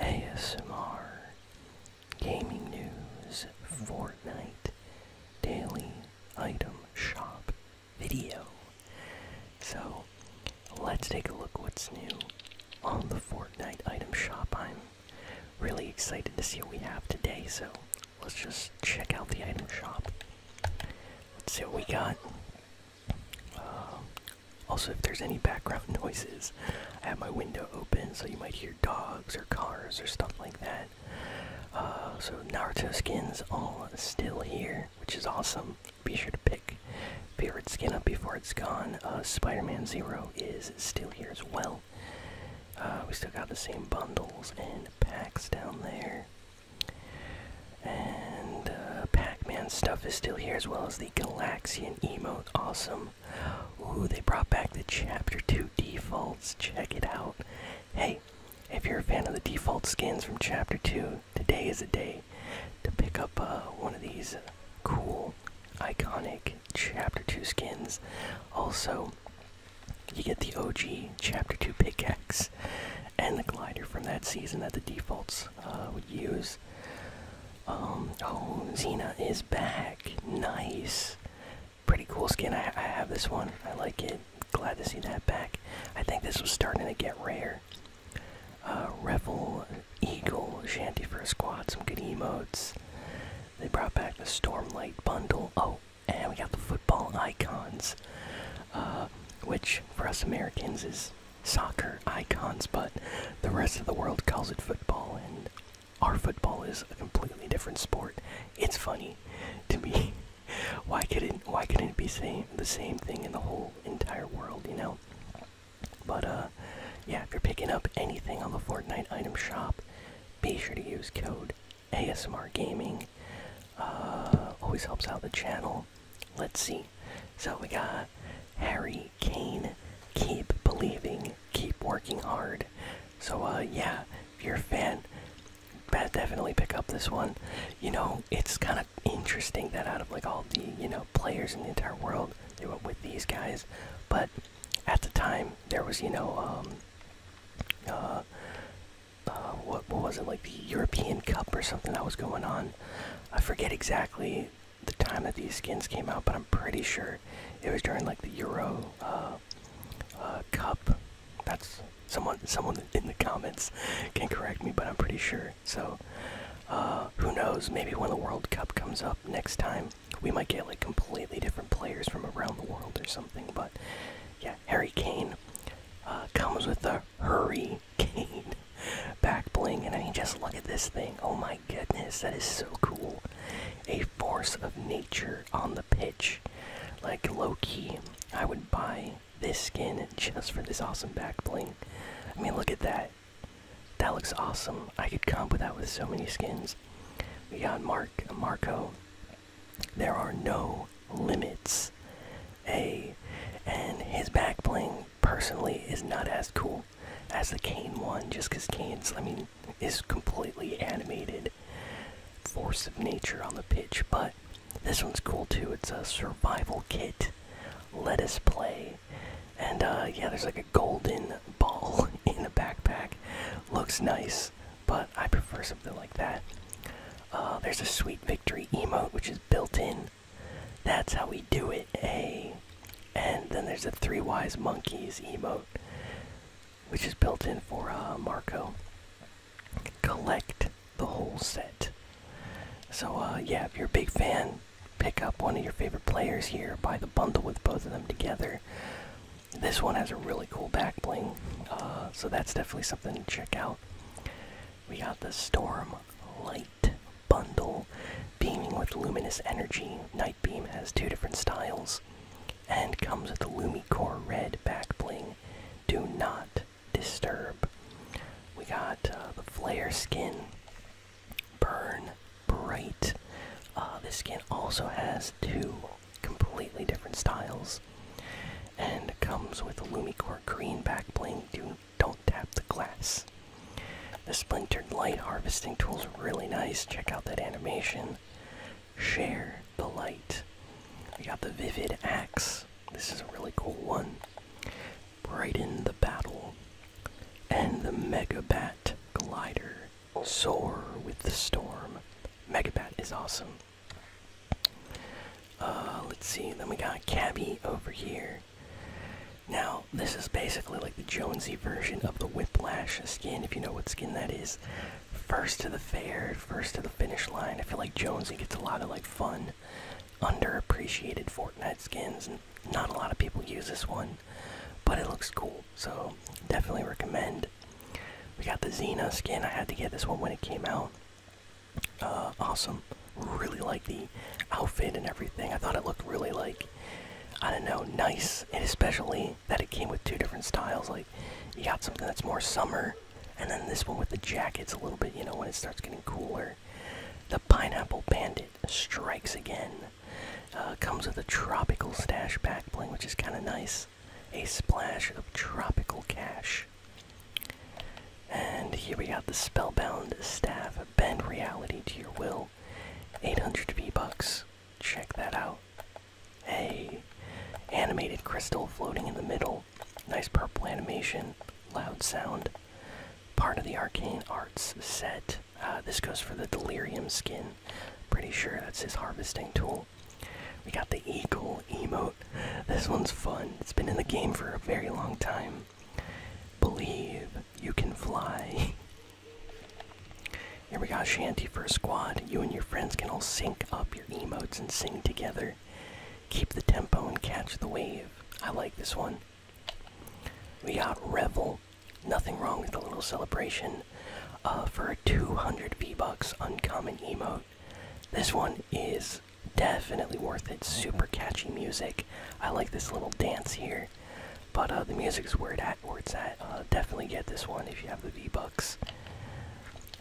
ASMR, gaming news, Fortnite, daily item shop video. So let's take a look what's new on the Fortnite item shop. I'm really excited to see what we have today, so let's just check out the item shop. Let's see what we got. Um, also, if there's any background noises, I have my window open, so you might hear dogs or cars or stuff like that. Uh, so Naruto skins all still here, which is awesome. Be sure to pick favorite skin up before it's gone. Uh, Spider-Man Zero is still here as well. Uh, we still got the same bundles and packs down there. And uh, Pac-Man stuff is still here, as well as the Galaxian emote. Awesome. Ooh, they brought back the Chapter 2 defaults. Check it out. Hey, if you're a fan of the default skins from Chapter 2, today is a day to pick up uh, one of these uh, cool, iconic Chapter 2 skins. Also, you get the OG Chapter 2 pickaxe and the glider from that season that the defaults uh, would use. Um, oh, Xena is back. Nice. Pretty cool skin. I, have this one. I like it. Glad to see that back. I think this was starting to get rare. Uh, Revel, Eagle, Shanty for a squad, some good emotes. They brought back the Stormlight bundle. Oh, and we got the football icons. Uh, which for us Americans is soccer icons, but the rest of the world calls it football, and our football is a completely different sport. It's funny to me. Why couldn't why couldn't it be same the same thing in the whole entire world, you know? But uh, yeah, if you're picking up anything on the Fortnite item shop, be sure to use code ASMR Gaming uh, always helps out the channel. Let's see. So we got Harry Kane. Keep believing. Keep working hard. So uh, yeah, if you're a fan, definitely pick up this one. You know, it's kind of interesting that out of like all the you know players in the entire world, they went with these guys. But at the time, there was you know. Um, uh, uh, what, what was it like the European Cup or something that was going on. I forget exactly the time that these skins came out, but I'm pretty sure it was during like the Euro uh, uh, Cup. That's someone someone in the comments can correct me, but I'm pretty sure. So who knows? Maybe when the World Cup comes up next time, we might get like completely different players from around the world or something. But yeah, Hurricane uh, comes with a hurricane back bling, and I mean, just look at this thing. Oh my goodness, that is so cool. A force of nature on the pitch. Like Loki, I would buy this skin just for this awesome back bling. I mean, look at that. That looks awesome. I could with that with so many skins. We got Mark, Marco, there are no limits. A and his back playing personally is not as cool as the Kane one, just because Kane's I mean is completely animated force of nature on the pitch, but this one's cool too. It's a survival kit. Let us play. And uh, yeah, there's like a golden ball in the backpack. Looks nice, but I prefer something like that. Uh, there's a sweet victory emote which is built in. That's how we do it, eh? And then there's a three wise monkeys emote, which is built in for uh, Marco. Collect the whole set. So uh, yeah, if you're a big fan, pick up one of your favorite players here. Buy the bundle with both of them together. This one has a really cool back bling, uh, so that's definitely something to check out. We got the Storm Light Bundle, beaming with luminous energy. Night Beam has two different styles, and comes with the Lumicore Red back bling. Do not disturb. We got uh, the Flare skin, Burn Bright. Uh, this skin also has two completely different styles. And comes with a Lumicore green backbling. Do don't tap the glass. The splintered light harvesting tool is really nice. Check out that animation. Share the light. We got the vivid axe. This is a really cool one. Brighten the battle. And the Megabat glider. Soar with the storm. Megabat is awesome. Uh, let's see. Then we got Cabby over here. Now, this is basically like the Jonesy version of the Whiplash skin, if you know what skin that is. First to the fair, first to the finish line. I feel like Jonesy gets a lot of like fun, underappreciated Fortnite skins, and not a lot of people use this one, but it looks cool so definitely recommend. We got the Xena skin. I had to get this one when it came out. Uh, awesome. Really like the outfit and everything. I thought it looked really like I don't know, nice, and especially that it came with two different styles. Like you got something that's more summer, and then this one with the jackets a little bit. You know when it starts getting cooler. The pineapple bandit strikes again. Uh, comes with a tropical stash back bling, which is kind of nice a splash of tropical cash. And here we got the Spellbound Staff. Bend reality to your will. 800 V-Bucks. Check that out. A Animated crystal floating in the middle. Nice purple animation. Loud sound. Part of the Arcane Arts set. Uh, this goes for the Delirium skin. Pretty sure that's his harvesting tool. We got the Eagle emote. This one's fun. It's been in the game for a very long time. Believe you can fly. Here we got Shanty for a squad. You and your friends can all sync up your emotes and sing together. Keep the tempo and catch the wave. I like this one. We got Revel. Nothing wrong with a little celebration. Uh, for 200 V Bucks, uncommon emote. This one is definitely worth it. Super catchy music. I like this little dance here, but uh, the music's where Where it's at. Uh, definitely get this one if you have the V Bucks.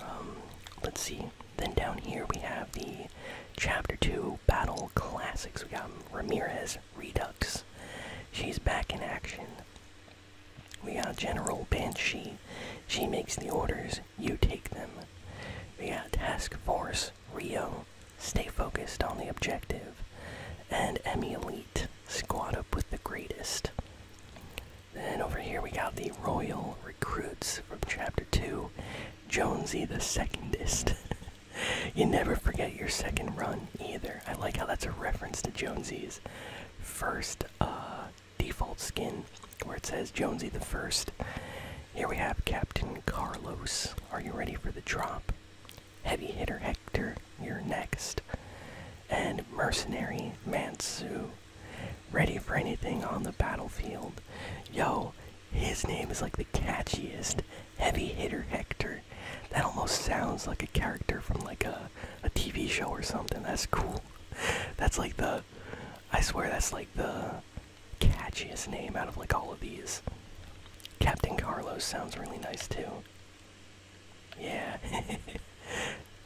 Um, let's see. Then down here we have the Chapter Two Battle Classics. We got Ramirez Redux. She's back in action. We got General Banshee. She makes the orders, you take them. We got Task Force Rio. Stay focused on the objective. And Emmy Elite. Squad up with the greatest. Then over here we got the Royal Recruits from Chapter 2. Jonesy the Secondist. you never forget your second run either. I like how that's a reference to Jonesy's first uh, default skin, where it says Jonesy the First. Here we have Captain Carlos. Are you ready for the drop? Heavy hitter Hector, you're next. And mercenary Mansu, ready for anything on the battlefield. Yo, his name is like the catchiest heavy hitter Hector. That almost sounds like a character from like a a TV show or something. That's cool. That's like the I swear that's like the catchiest name out of like all of these. Captain Carlos sounds really nice too. Yeah.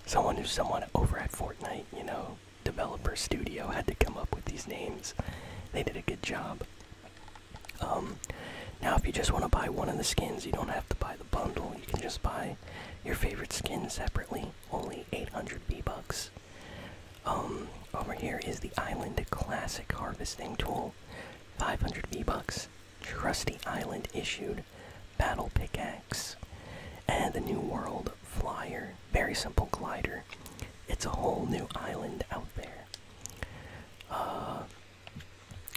someone who's someone over at Fortnite, you know, developer studio had to come up with these names. They did a good job. Um, now, if you just want to buy one of the skins, you don't have to buy the bundle. You can just buy your favorite skin separately. Only 800 B bucks. Um, over here is the Island Classic Harvesting Tool. 500 V bucks. Trusty Island issued. Battle pickaxe. And the New World Flyer. Very simple glider. It's a whole new island out there. Uh,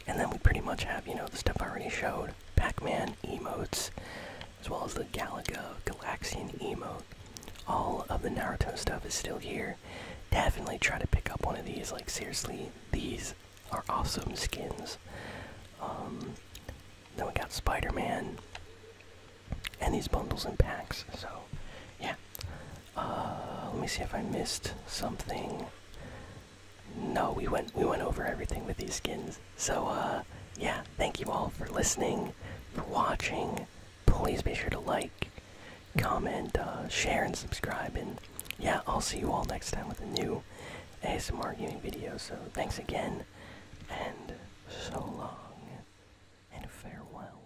and then we pretty much have, you know, the stuff I already showed Pac Man emotes, as well as the Galaga Galaxian emote. All of the Naruto stuff is still here. Definitely try to pick up one of these. Like, seriously, these are awesome skins. Um, then we got Spider Man and these bundles and packs. So, yeah. Uh, let me see if I missed something. No, we went we went over everything with these skins. So uh, yeah, thank you all for listening, for watching. Please be sure to like, comment, uh, share, and subscribe. And yeah, I'll see you all next time with a new ASMR gaming video. So thanks again, and so long, and farewell.